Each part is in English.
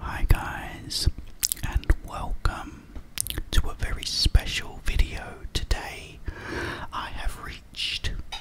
Hi guys, and welcome to a very special video today. I have reached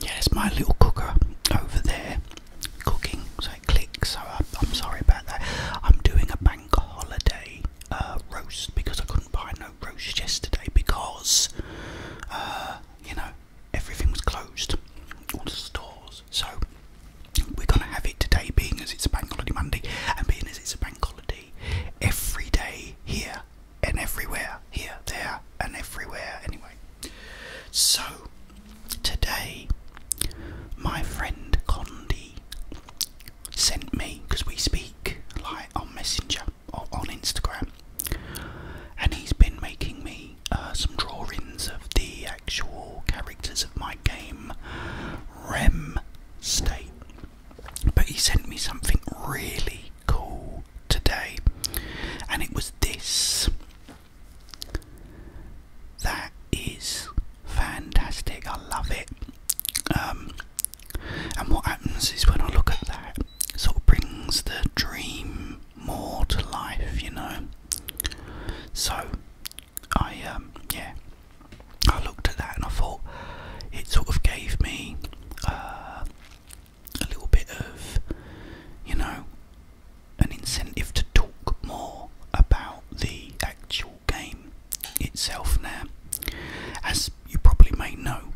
Yes, my little cooker over there cooking, so it clicks. So I, am sorry about that. I'm doing a bank holiday uh, roast because I couldn't buy no roast yesterday because, uh, you know, everything was closed, all the stores. So we're gonna have it today, being as it's a bank holiday Monday, and being as it's a bank holiday every day here and everywhere, here, there, and everywhere. Anyway, so today my friend Condi sent me, because we speak like on Messenger or on Instagram, and he's been making me uh, some drawings of the actual characters of my game, REM State. But he sent me something really cool today, and it was this. That is fantastic. I love it. Um, and what happens is when I look at that, it sort of brings the dream more to life, you know. So I um, yeah, I looked at that and I thought it sort of gave me uh, a little bit of you know an incentive to talk more about the actual game itself now. As you probably may know,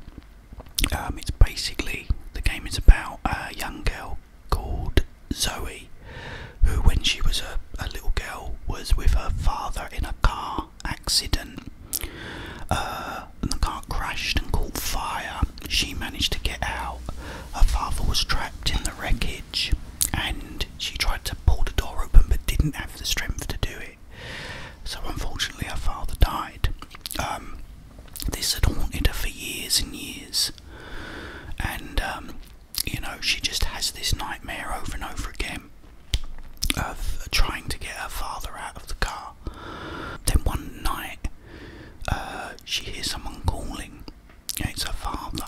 um, it's basically the game is about a young girl called Zoe, who, when she was a, little girl, was with her father in a car accident. Uh, and the car crashed and caught fire, she managed to get out. Her father was trapped in the wreckage and she tried to pull the door open but didn't have the strength to do it. So, unfortunately, her father died. Um, this had haunted her for years and years, and um, you know, she just has this nightmare over and over again of trying to get her father out of the car. Then one night, uh, she hears someone calling. It's her father.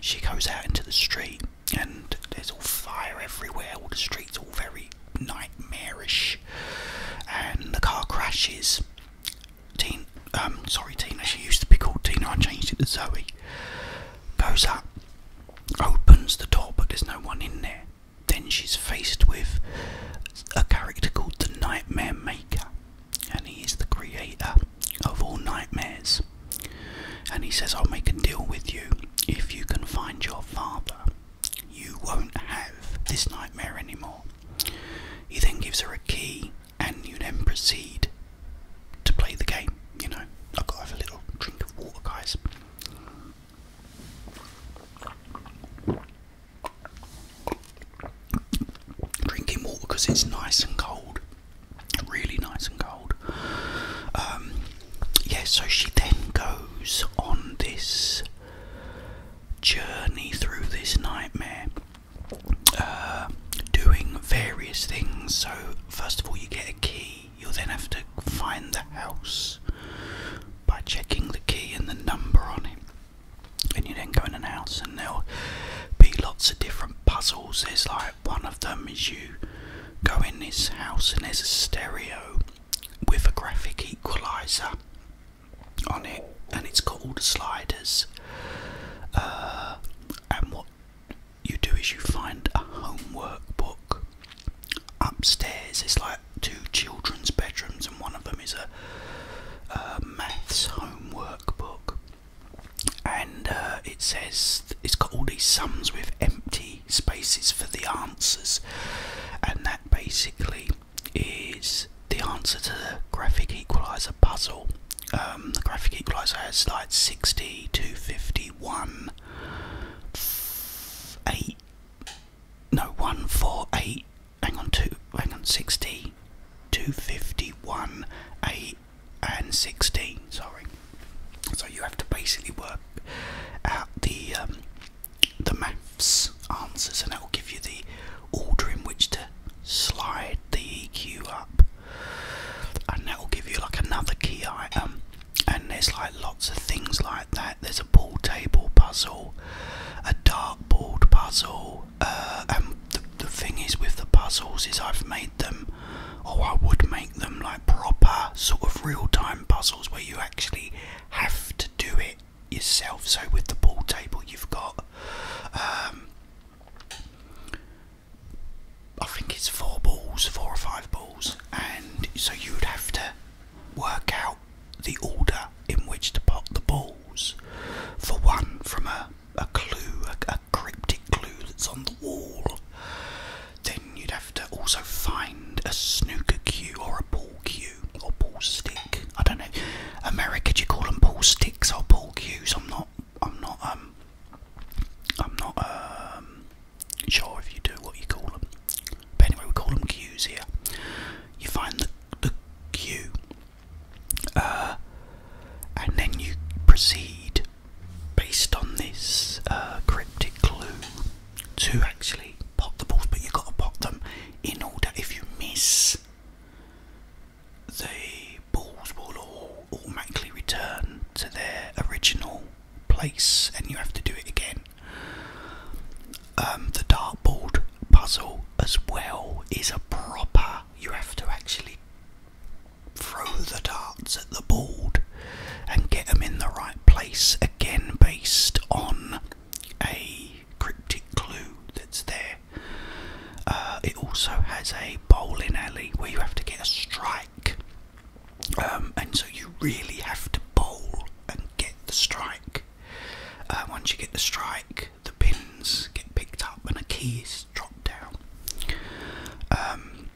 She goes out into the street, and there's all fire everywhere. All the streets all very nightmarish, and the car crashes. Um, sorry, Tina. She used to be called Tina. I changed it to Zoe. Goes up, opens the door, but there's no one in there. Then she's faced with a character called the Nightmare Maker, and he is the creator of all nightmares. And he says, I'll make a deal with you. If you can find your father, you won't have this nightmare anymore. He then gives her a key, and you then proceed to play the game. You know, I've got to have a little drink of water, guys. Drinking water because it's nice and cold, really nice and cold. Um, yeah, so she then goes on this journey through this nightmare, uh, doing various things. So, first of all, you get a key, you'll then have to find the house by checking the key and the number on it and you then go in an house and there'll be lots of different puzzles. There's like one of them is you go in this house and there's a stereo with a graphic equalizer on it and it's called the sliders uh, and what you do is you find a homework book upstairs it's like two children's bedrooms, and one of them is a, maths homework book. And uh, it says it's got all these sums with empty spaces for the answers, and that basically is the answer to the graphic equalizer puzzle. Um, the graphic equalizer has like 60, 251, 8, no, 148, hang on, two, hang on, 60, 251, 8, and 16, sorry. So you have to basically work out the, um, the maths answers and that will give you the order in which to slide the EQ up and that will give you like another key item and there's like lots of things like that there's a pool table puzzle a dartboard puzzle. Uh, and the, thing is with the puzzles is I've made them, or I would make them like proper sort of real-time puzzles where you actually have to do it yourself. So with the ball table, you've got. Um, I think it's four balls, four or five balls, and so you would have to work out the order in which to pot the balls. For one, from a, a clue, a, cryptic clue that's on the wall. Then you'd have to also find a snooker cue or a ball cue or ball stick. I don't know. America, do you call them ball sticks or ball cues? I'm not. I'm not. Um, I'm not. Um, sure, if you do, what you call them. But anyway, we call them cues here you find the, the queue, uh, and then you proceed based on this uh, cryptic clue to actually pot the balls, but you've got to pot them in order. If you miss, the balls will all automatically return to their original place, and you have to do it again. Um, the dartboard puzzle as well is a proper. You have to actually throw the darts at the board and get them in the right place. Again, based on a cryptic clue that's there. Uh, it also has a bowling alley where you have to get a strike, um, and so you really have to bowl and get the strike. Uh, once you get the strike, the pins get picked up and a key is dropped down. Um,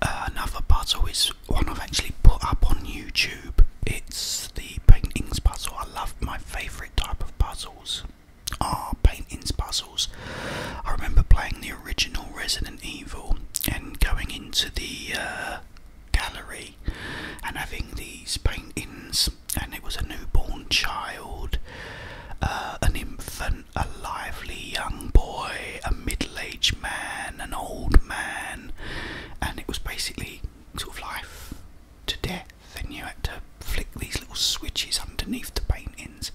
another puzzle is one I've actually put up on YouTube. It's the paintings puzzle. I love my favourite type of puzzles are paintings puzzles. I remember playing the original Resident Evil and going into the uh, gallery and having these paintings, and it was a newborn child, uh, an infant, a lively young boy, a middle aged man, an old man, and it was basically sort of life to death. And you had to flick these little switches underneath the paintings.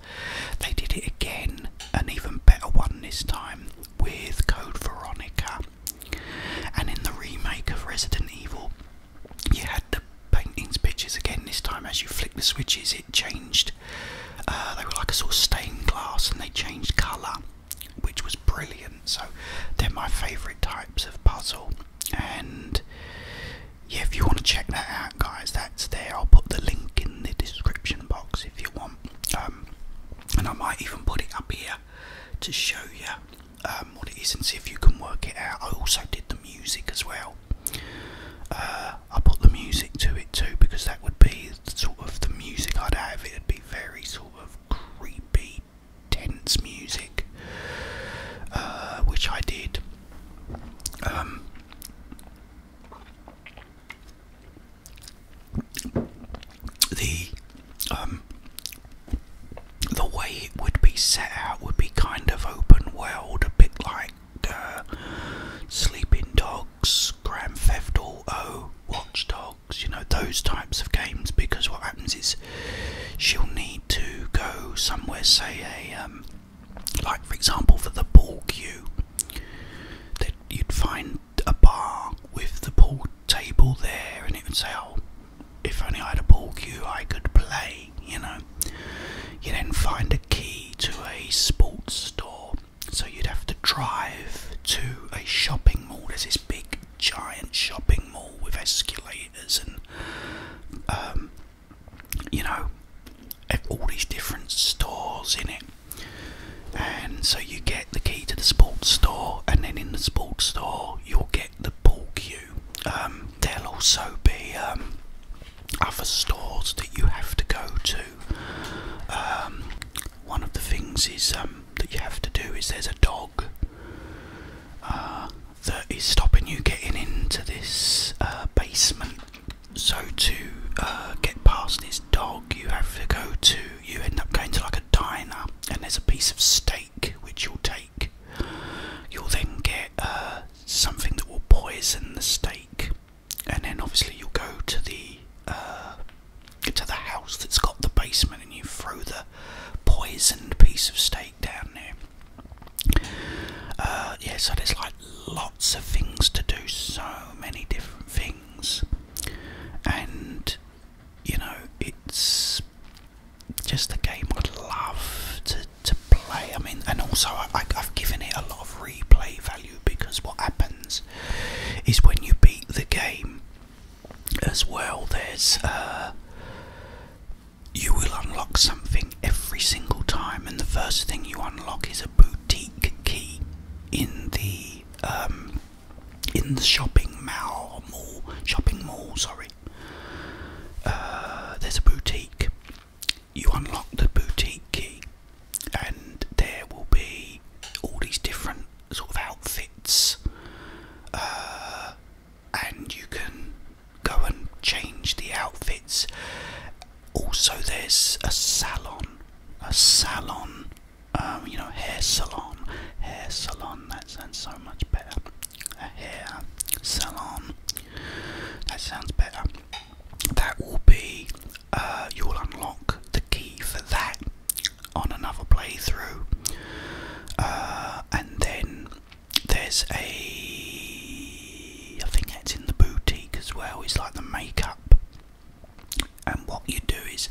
They did it again, an even better one this time with Code Veronica. And in the remake of Resident Evil, you had the paintings pictures again. This time, as you flick the switches, it changed. Uh, they were like a sort of stained glass, and they changed colour, which was brilliant. So they're my favourite types of puzzle. And yeah, if you want to check that out, guys, that's there. I'll put the link in the description box if you want. Um, and I might even put it up here to show you um, what it is and see if you can work it out. I also did the music as well. Uh, I put the music to it too because that would be sort of the music I'd have. It'd be very sort of creepy, tense music, uh, which I did. Um, the um, the way it would be set out would be kind of open world, a bit like uh, Sleeping Dogs, Grand Theft Auto, Watch Dogs, you know those types of games. Because what happens is she'll need to go somewhere, say a um, like for example for the ball queue that you'd find a bar with the pool table there, and it would say, "Oh, if only I had a pool cue, I could play." You know. You then find a key to a sports store, so you'd have to drive to a shopping mall. There's this big, giant shopping mall with escalators and, um, you know, all these different stores in it. And so you get the key to the sports store, and then in the sports store, you'll get the pool cue. Um, there'll also be um, other stores that you have to go to. Um, one of the things is that you have to do is there's a dog uh, that is stopping you getting into this uh, basement. So to uh, get past this dog, you have to go to you end up going to like a diner and there's a piece of steak which you'll take. You'll then get uh, something that will poison the steak, and then obviously you'll go to the uh, to the house that's got the basement and you throw the poisoned piece of steak down there. Uh, yeah, so there's like lots of things to do, so many different things, and you know, it's just a game I'd love to, to play. I mean, and also I, have given it a lot of replay value because what happens is when you beat the game as well, there's uh, you will unlock something every single time, and the first thing you unlock is a boutique key in the um, in the shopping mall, mall shopping mall, sorry. Uh, there's a boutique. You unlock the boutique key, and there will be all these different sort of outfits, uh, and you can go and change the outfits. Also, there's a salon, a salon um, you know, hair salon, hair salon, that sounds so much better. A hair salon, that sounds better. That will be, uh, you'll unlock the key for that on another playthrough. Uh, and then there's a, I think it's in the boutique as well, it's like the makeup and what you do is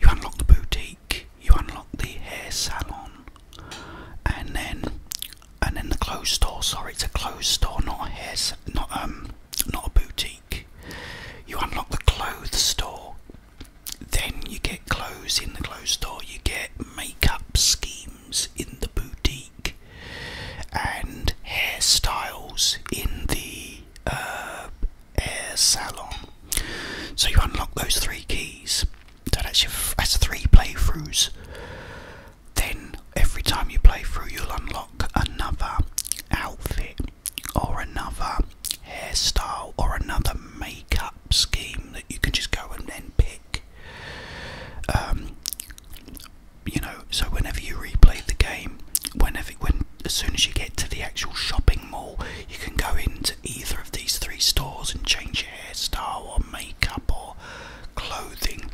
you unlock the boutique, you unlock the hair salon, and then and then the clothes store. Sorry, it's a clothes store, not a hair, not um, not a boutique. You unlock the clothes store. Then you get clothes in the clothes store. You get makeup schemes in the boutique and hairstyles in the uh, Air Salon. So you unlock those three keys. that's your that's three playthroughs. Then every time you play through, you'll unlock another outfit or another hairstyle or another makeup scheme that you can just go and then pick. Um, you know, so whenever you replay the game, whenever when as soon as you get to the actual shopping mall, you can go into either of these three stores and change your hairstyle or makeup or clothing,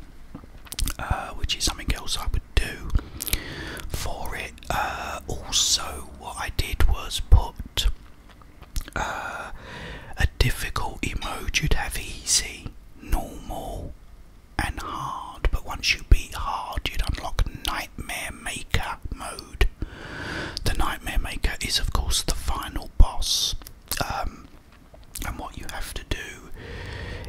uh, which is something else I would do for it. Uh, also, what I did was put uh, a difficult emoji. You'd have easy, normal, and hard, but once you beat hard, you'd unlock Nightmare Maker mode. The Nightmare Maker is, of course, the final boss. Um, and what you have to do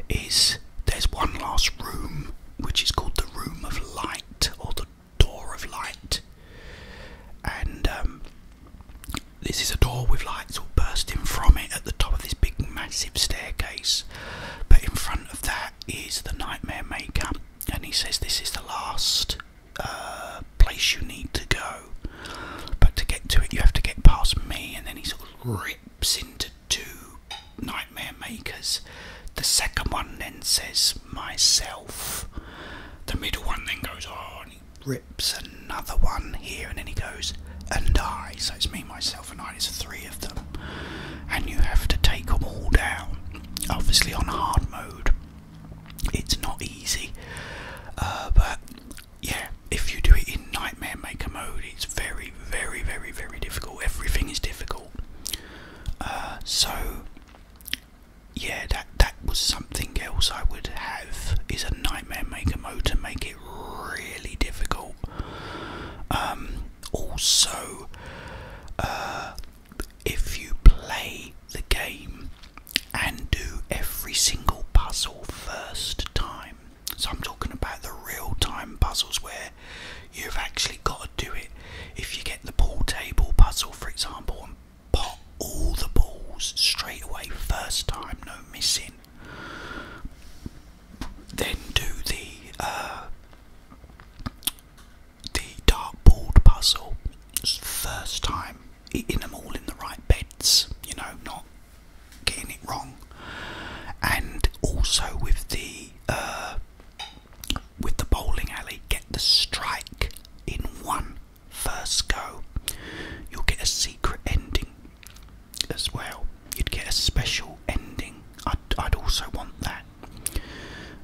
is there's one last room which is called the Room of Light or the Door of Light, and um, this is a door with lights all bursting from it at the top of this big massive staircase. But in front of that, is the Nightmare Maker, and he says this is the last uh, place you need to go. But to get to it, you have to get past me, and then he sort of rips into two Nightmare Makers. The second one then says myself. The middle one then goes on, he rips another one here, and then he goes and I. So it's me, myself yourself, three of them, and you have to take them all down. Obviously, on hard mode, it's not easy, uh, but yeah, if you do it in Nightmare Maker mode, it's very, very, very, very difficult. Everything is difficult. Uh, so yeah, that that was something else I would have is a Nightmare Maker mode to make it really difficult. Um, also, uh, if you play the game and do every single puzzle first time, so I'm talking about the real time puzzles where you've actually got to do it. If you get the pool table puzzle, for example, and pop all the balls straight away, first time, no missing then do the uh, the board puzzle first time, eating them all in the right beds, you know, not getting it wrong, and also with the uh, with the bowling alley, get the strike in one first go. You'll get a secret ending as well. You'd get a special ending. I'd, I'd also want that.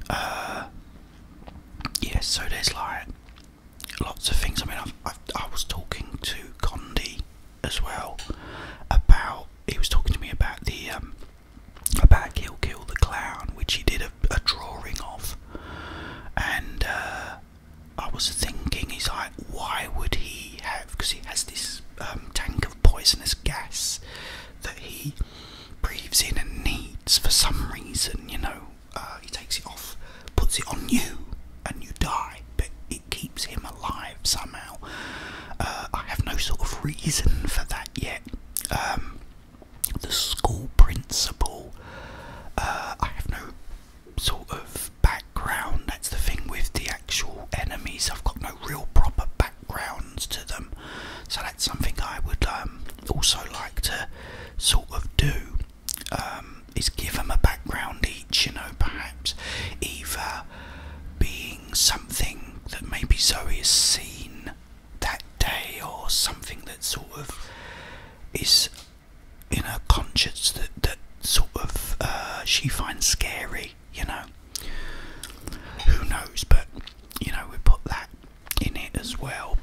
Uh, yes. so there's like lots of things. I mean, i i was talking to Condi as well about. He was talking to me about the um, about Kill Kill the Clown, which he did a, drawing of, and uh, I was thinking, he's like, why would he have? Because he has this um, tank poisonous gas that he breathes in and needs for some reason, you know. Uh, he takes it off, puts it on you, and you die, but it keeps him alive somehow. Uh, I have no sort of reason for that yet. Um, the school principal, uh, I have no sort of background. That's the thing with the actual enemies, I've got no real proper back backgrounds to them. So that's something I would um, also like to sort of do. Um, is give them a background each, you know, perhaps Eva being something that maybe Zoe has seen that day or something that sort of is in her conscience that, that sort of uh, she finds scary you know. Who knows? But you know, we put that in it as well.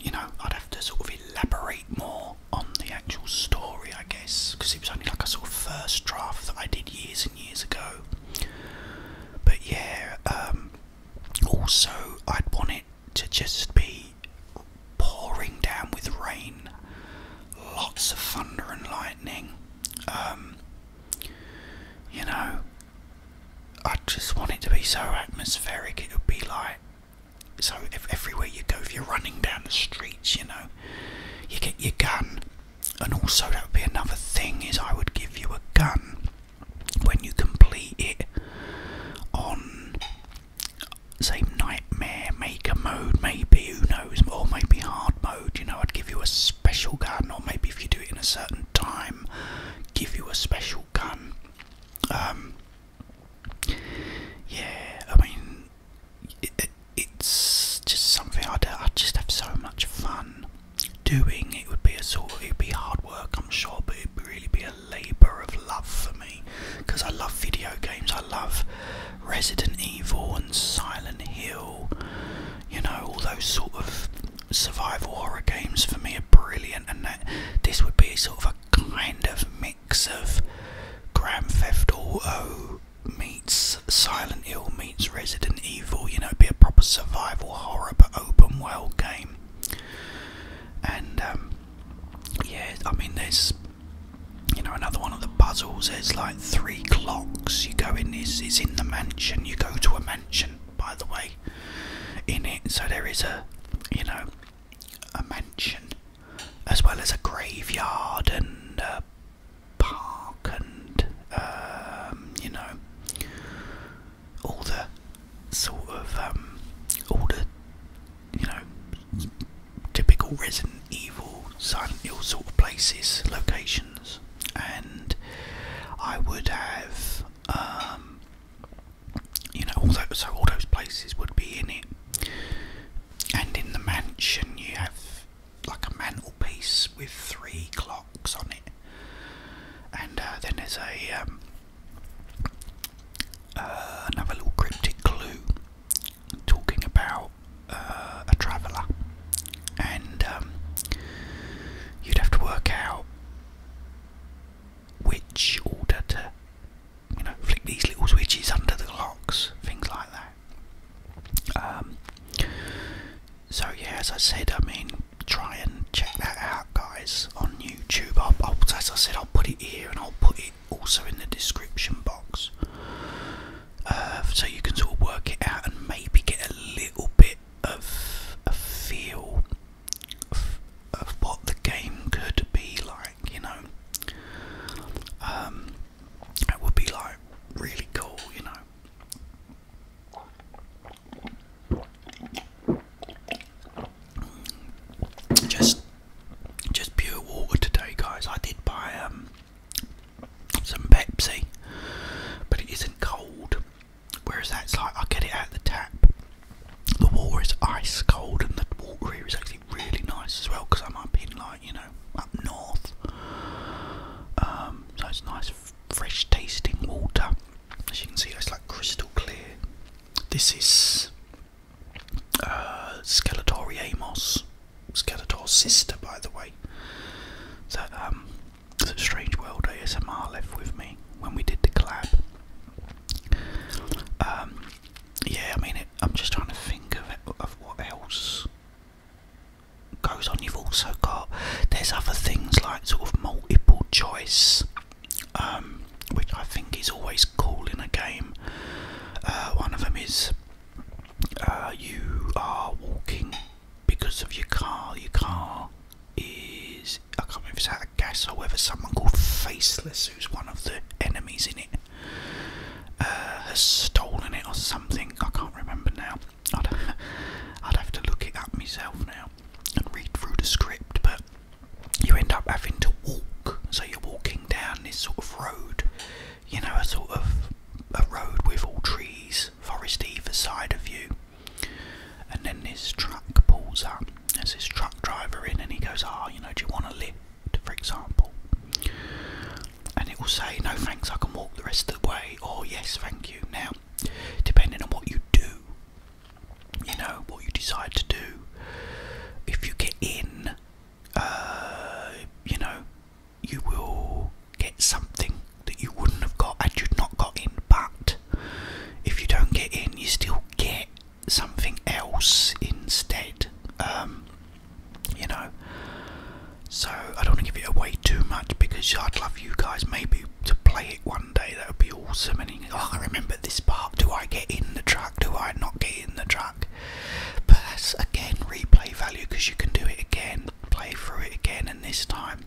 You know, I'd have to sort of elaborate more on the actual story, I guess, because it was only like a sort of first draft that I did years and years ago. But yeah, um, also I'd want it to just be pouring down with rain, lots of thunder and lightning. Um, you know, I just want it to be so atmospheric. It would be like so. If everywhere you go, if you're running down the streets, you know, you get your gun. And also, that would be another thing is I would give you a gun when you complete it on, same Nightmare, maker mode, maybe, who knows, or maybe hard mode, you know, I'd give you a special gun, or maybe if you do it in a certain time, give you a special gun. Um, yeah, I mean, it's just something i I'd just have so much fun doing. It would be a sort of, it'd be hard work, I'm sure, but it'd really be a labour of love for me because I love video games. I love Resident Evil and Silent Hill. You know, all those sort of survival horror games for me are brilliant, and that this would be sort of a kind of mix of Grand Theft Auto meets Silent Hill meets Resident Evil. You know, it'd be a proper survival horror but open world game. And um, yeah, I mean, there's you know, another one of the puzzles. is like three clocks. You go in is is in the mansion. You go to a mansion, by the way, in it. So there is a, you know, a mansion, as well as a graveyard and a park and, um, you know, all the sort of um, all the, you know typical Resident Evil, Silent Hill sort of places, locations, and I would have, um, you know, all those, so all those places would be in it. And in the mansion, you have like a mantelpiece with three clocks on it, and uh, then there's a um, uh, another little cryptic clue talking about uh, a traveller, and um, you'd have to work out which order to, you know, flick these little switches under the locks, things like that. Um, so yeah, as I said, I mean, try and check that out, guys, on YouTube. I'll, as I said, I'll put it here, and I'll put it also in the description box. Uh, so you can sort of work it out and maybe get a little bit of a feel of, what the game could be like, you know. Um, it would be like really cool, you know. Just, just pure water today, guys. I did buy um, some Pepsi, but it isn't cold. Whereas that's like I get it out the tap. The water is ice cold, and the water here is actually really nice as well because I'm up in like you know up north, um, so it's nice, fresh tasting water. As you can see, it's like crystal clear. This is uh, Skeletori Amos Skeletor's sister, by the way. That um, that Strange World ASMR left with me when we did the collab. Um, yeah, I mean, it, I'm just trying to think of of what else goes on. You've also got there's other things like sort of multiple choice, um, which I think is always cool in a game. Uh, one of them is uh, you are walking because of your car. Your car is, I can't remember if it's out of gas, however, someone called Faceless, who's one of the enemies in it, uh, has stolen it or something. I can't remember now. I'd, I'd have to look it up myself now and read through the script, but you end up having to walk. So you're walking down this sort of road you know, a sort of a road with all trees, forest either side of you. And then this truck pulls up. There's this truck driver in, and he goes, "Ah, you know, do you want to lift, for example?" And it will say, "No, thanks. I can walk the rest of the way," or "Yes, thank you." Now, depending on what you do, you know, what you decide to do, if you get in you know, you will get something that you wouldn't have got had you not got in. But if you don't get in, you still get something else instead. Um, you know, so I don't want to give it away too much because I'd love you guys maybe to play it one day. That would be awesome. And oh, I remember this part. Do I get in the truck? Do I not get in the truck? But that's again replay value because you can do it again, play through it again, and this time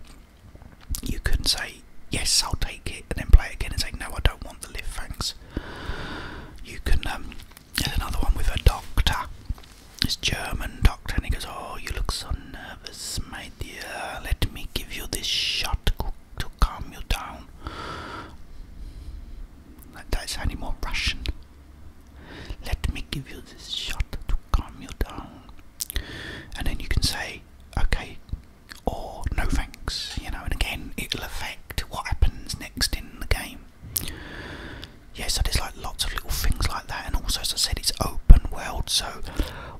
you can say, Yes, I'll take it, and then play it again and say, No, I don't want the live, thanks. You can, get um, another one with a doctor, It's German doctor, and he goes, Oh, you look so nervous, my dear, let me give you this shot to calm you down. That, that's sounding more Russian. Let me give you this shot to calm you down. And then you can say, okay, or no thanks, you know, and again, it'll affect what happens next in the game. Yeah, so there's like lots of little things like that, and also, as I said, it's open world. So,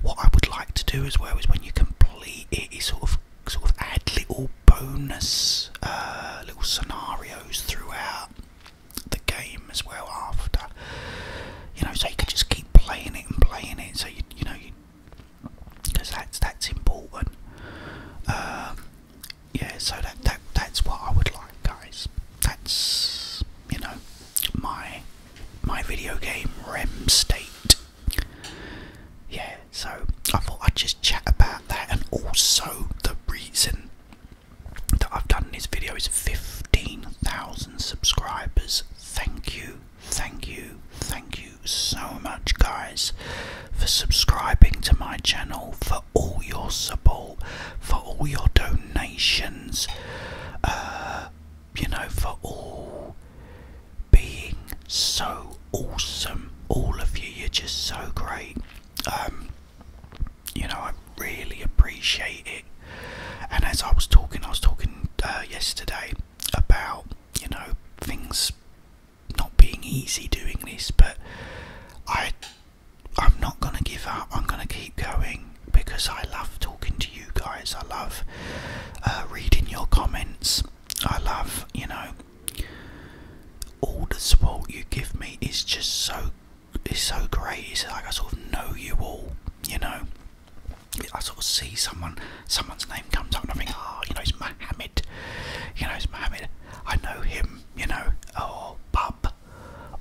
what I would like to do as well is when you complete it, is sort of sort of add little bonus uh, little scenarios throughout the game as well after you know so you can just keep playing it and playing it so you, you know you because that's that's important um, yeah so that, that that's what I would like guys that's you know my my video game REM state yeah so I thought I'd just chat about that and also the reason that I've done this video is 15,000 subscribers. Thank you, thank you, thank you so much, guys, for subscribing to my channel, for all your support, for all your donations, uh, you know, for all being so awesome. All of you, you're just so great. Um, you know, I really appreciate it. And as I was talking, I was talking uh, yesterday about you know things not being easy doing this, but I I'm not gonna give up. I'm gonna keep going because I love talking to you guys. I love uh, reading your comments. I love you know all the support you give me is just so it's so great like i sort of know you all you know i sort of see someone someone's name comes up and i think ah, you know it's mohammed you know it's mohammed i know him you know or bub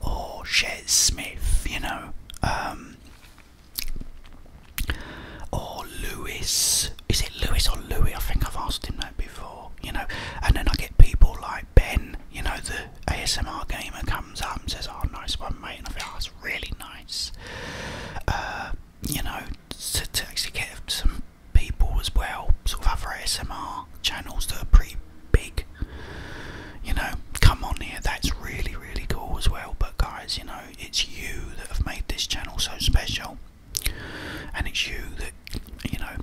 or shez smith you know um, or Louis. is it Louis or louis i think i've asked him that before you know, and then I get people like Ben, you know, the ASMR gamer comes up and says, "Oh, nice one, mate," and I feel oh, that's really nice. Uh, you know, to, to actually get some people as well, sort of other ASMR channels that are pretty big, you know, come on here. That's really, really cool as well. But guys, you know, it's you that have made this channel so special and it's you that you know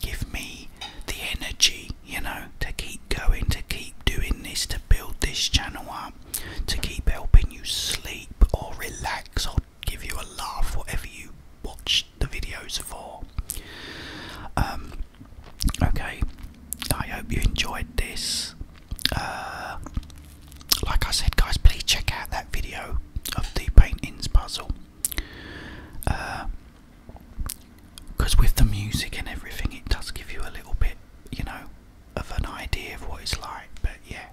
give me the energy you know to keep going to keep doing this to build this channel up to keep helping you sleep or relax or give you a laugh whatever you watch the videos for um, okay i hope you enjoyed this uh, like i said guys please check out that video of the paintings puzzle. Because uh, with the music and everything, it does give you a little bit, you know, of an idea of what it's like. But yeah.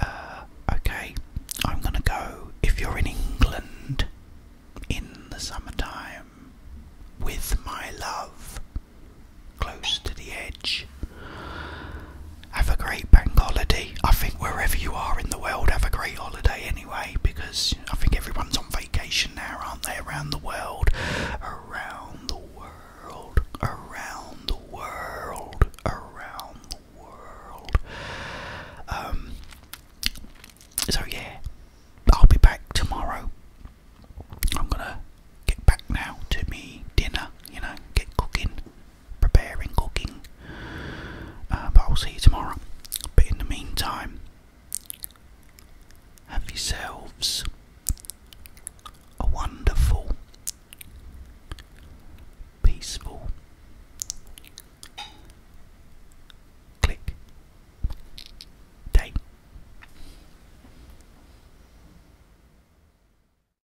Uh, okay, I'm gonna go. If you're in England in the summertime, with my love, close to the edge edge. Have a great bank holiday. I think wherever you are in the world, have a great holiday anyway, because I think everyone's on vacation now, aren't they? Around the world. Around the world. Around the world. Around the world. Um, so, yeah, I'll be back tomorrow. I'm gonna get back now to me dinner, you know, get cooking, preparing, cooking. Uh, but I'll see you tomorrow. But in the meantime, have yourselves a wonderful, peaceful click day.